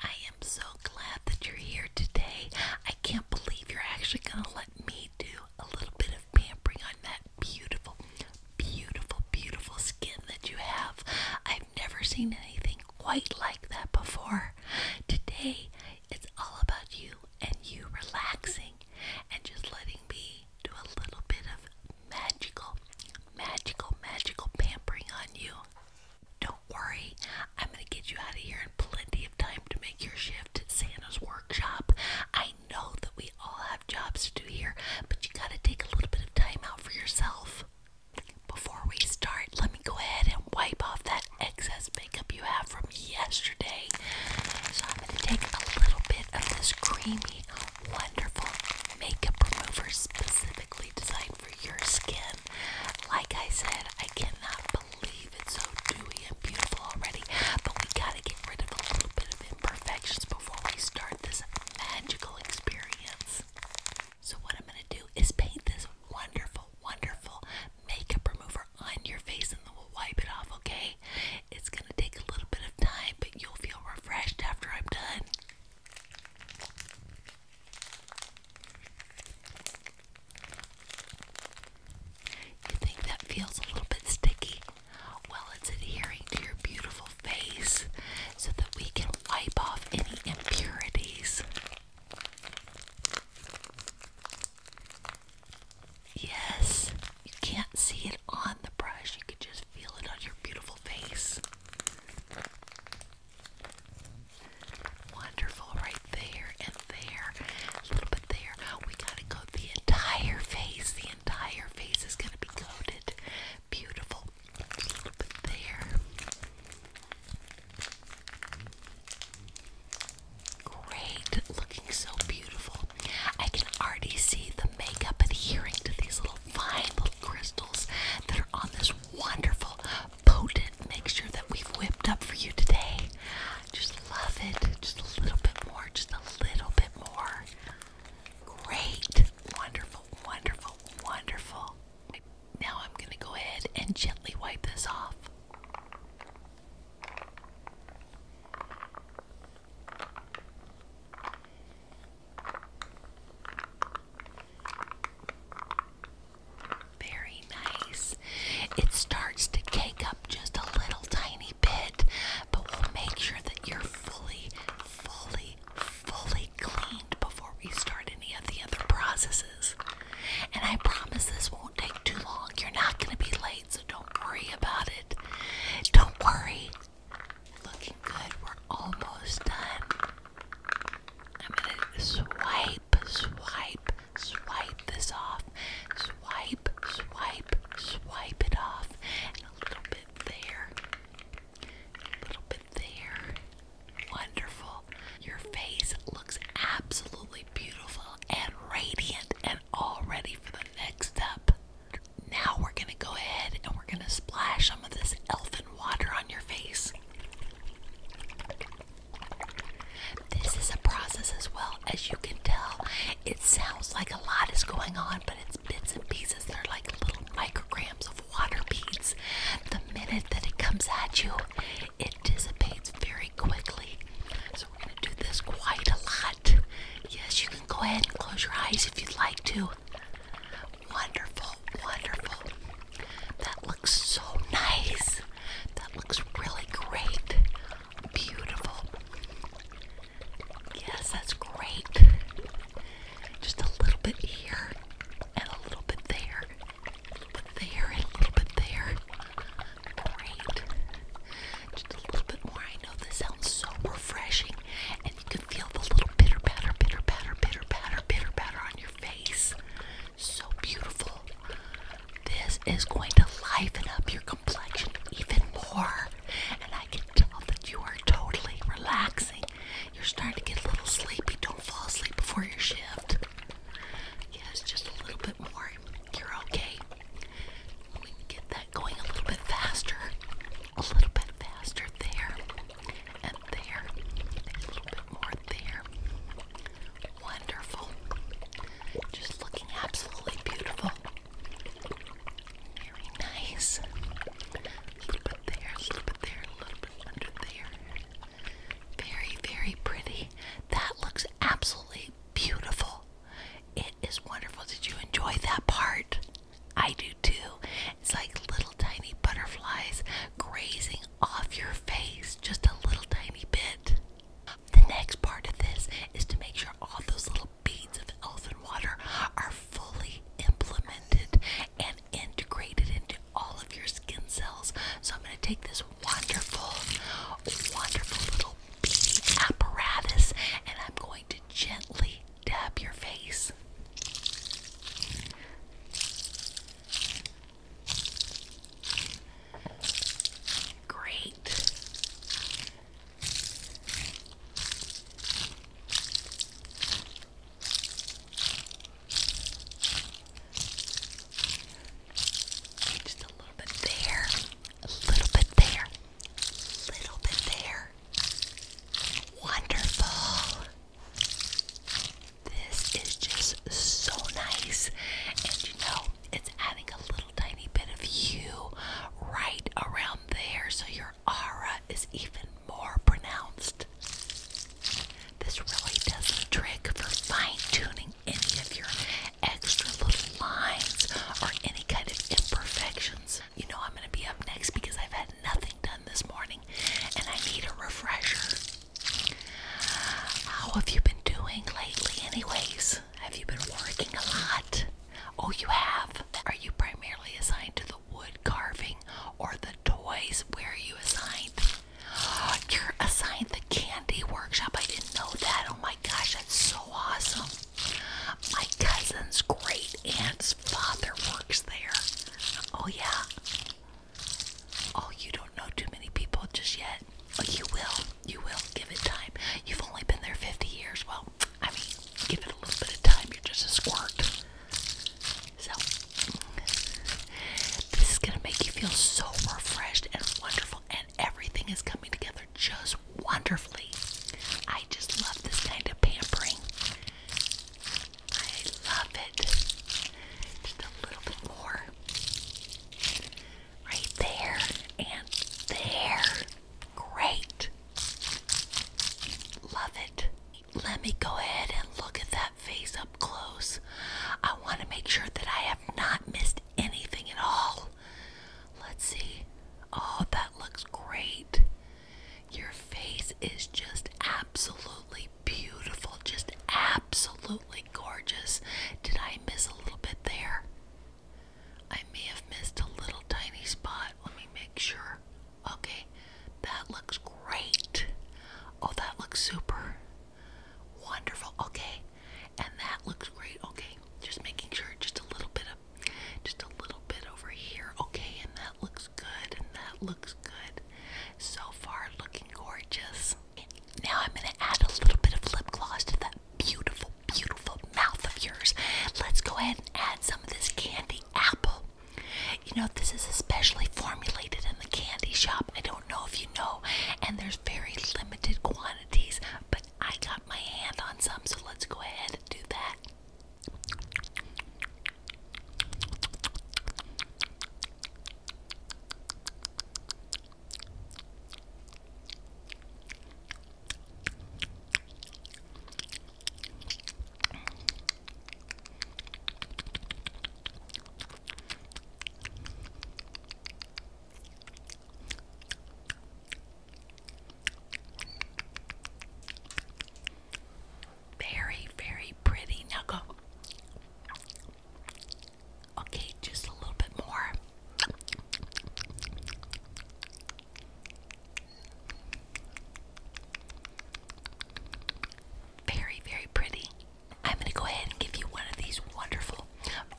I am so glad that you're here today. I can't believe you're actually going to let me do a little bit of pampering on that beautiful, beautiful, beautiful skin that you have. I've never seen anything quite like that before. Today, it's all about you and you relaxing and just letting me do a little bit of magical, magical, magical pampering on you. Don't worry, I'm gonna get you out of here in plenty of time to make your shift at Santa's workshop. I know that we all have jobs to do here, but you gotta take a little bit of time out for yourself. Before we start, let me go ahead and wipe off that excess makeup you have from yesterday. So I'm gonna take a little bit of this creamy, wonderful makeup remover specifically designed over your skin. Like I said, I cannot believe it's so dewy and beautiful already, but we gotta get rid of a little bit of imperfections before we start this magical experience. So, what I'm gonna do is paint this wonderful, wonderful makeup remover on your face and then we'll wipe it off, okay? It's gonna take a little bit of time, but you'll feel refreshed after I'm done. You think that feels a little bit sticky? Well, it's adhering to your beautiful face so that we can wipe off any impurities. Yes, you can't see it on the brush, you can just feel it on your beautiful face. Wonderful, right there and there, a little bit there. We gotta go the entire face. The entire face is gonna be coated. Beautiful. A little bit there. Great, looking so beautiful. I can already see the makeup adhering to these little fine crystals that are on this wonderful, potent mixture that we've whipped up for you today. Just love it. Just a little bit more. Just a little bit more. Great. Wonderful, wonderful, wonderful. Now I'm going to go ahead and gently wipe this off. Very nice. It starts to cake up just a little tiny bit, but we'll make sure that you're fully, fully, fully cleaned before we start any of the other processes. And I promise this won't take too long. You're not going to be late, so don't worry about it. Don't worry. Looking good. We're almost done. I'm gonna swipe, swipe, swipe this off. Swipe, swipe, swipe it off. And a little bit there. A little bit there. Wonderful. Your face looks absolutely beautiful and radiant and all ready for the next step. Now we're going to go ahead and we're going to splash some of this elfin water on your face. This is a process as well, as you can tell. It sounds like a lot is going on, but it's bits and pieces. They're like little micrograms of water beads. The minute that it comes at you, it dissipates very quickly. So we're going to do this quite a lot. Yes, you Go ahead and close your eyes if you'd like to. Wonderful, wonderful. That looks so nice. That looks really great. Beautiful. Yes, that's great. Just a little bit here and a little bit there. A little bit there and a little bit there. Great just a little bit more. I know this sounds so refreshing, and you can feel the little bitter batter, bitter batter, bitter bitter on your face. So beautiful. This is going to liven up your complexion even more, and I can tell that you are totally relaxing. You're starting to get a little sleepy. Don't fall asleep before your shift. Yes, just a little bit more. You're okay. Let me get going a little bit faster. A little bit faster there. And there. a little bit more there. Wonderful. Just looking absolutely beautiful. Very nice. A little bit there, a little bit there, a little bit under there. Very, very pretty. That looks absolutely beautiful. It is wonderful. Did you enjoy that part? I do too. It's like little tiny butterflies grazing off your face just a little tiny bit. The next part of this is to make sure all those little beads of elfin water are fully implemented and integrated into all of your skin cells. So I'm going to take this wonderful, wonderful little apparatus and I'm going to gently dab your face. Great. Just a little bit there, a little bit there. Little bit there. Wonderful. This is just so nice. And you know, it's adding a little tiny bit of you right around there. So your aura is even more pronounced. This really does the trick for fine tuning any of your extra little lines or any kind of imperfections. You know I'm gonna be up next because I've had nothing done this morning and I need a refresher. How have you been doing lately anyways? Have you been working a lot? Oh, you have? Are you primarily assigned to the wood carving or the toys? Where are you assigned? You're assigned candy workshop. I didn't know that. Oh my gosh, that's so awesome. My cousin's great aunt's father works there. Oh yeah. Oh, you don't know too many people just yet. Oh, you will. You will. Give it time. You've only been there 50 years. Well, I mean, give it a little bit of time. You're just a squirt. So, this is going to make you feel so refreshed and wonderful everything is coming together just wonderfully. I just love this kind of pampering. I love it. Just a little bit more. Right there and there. Great. Love it. Let me go ahead and look at that face up close. I want to make sure that I have not missed anything at all. Let's see. Oh, that looks great. Your face is just absolutely beautiful, just absolutely gorgeous. Did I miss a little bit there? I may have missed a little tiny spot. Let me make sure. Okay, that looks great. Oh, that looks super. Wonderful. Okay. And that looks great. Okay. Just making sure just a little bit of just a little bit over here. Okay. And that looks good. And that looks good. So far looking gorgeous. Now I'm going to add a little bit of lip gloss to that beautiful beautiful mouth of yours. Let's go ahead and add some of this candy apple. You know, this is especially formulated in the candy shop. I don't know if you know, and there's very limited quantities, but I got my hand on some, so let's go ahead and do that. Very, very pretty. Now Okay, just a little bit more. Very, very pretty. I'm going to go ahead and give you one of these wonderful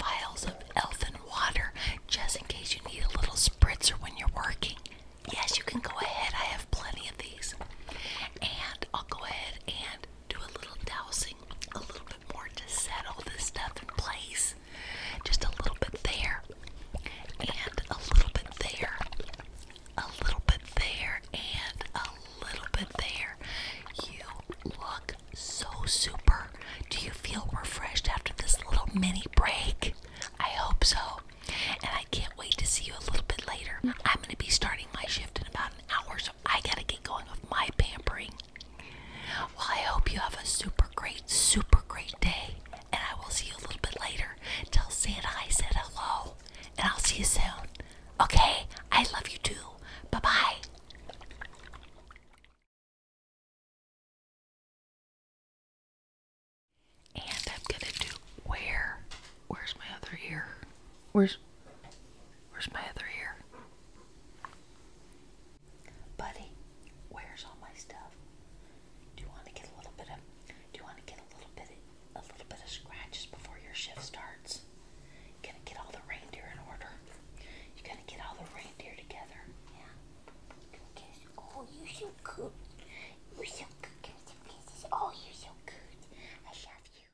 vials of elfin water just in case you need a little spritzer when you're working. Yes, you can go ahead. I have plenty of these. And I'll go ahead and do a little dousing, a little bit more to set all this stuff in place. Just a little bit there, and a little bit there, a little bit there, and a little bit there. You look so super. Do you feel refreshed after this little mini break? I hope so. And I can't wait to see you a little bit later. I'm going to be starting my shift in about an hour, so I got to get going with my pampering. Well, I hope you have a super great, super great day. And I will see you a little bit later. Tell Santa I said hello. And I'll see you soon. Okay, I love you too. Bye bye. And I'm gonna do where? Where's my other ear? Where's where's my other ear? Buddy, where's all my stuff? Do you want to get a little bit of? Do you want to get a little bit of a little bit of scratches before your shift starts. You going to get all the reindeer in order. You going to get all the reindeer together. Yeah. Oh, you're so cute. You're so good, Oh, you're so good. I love you.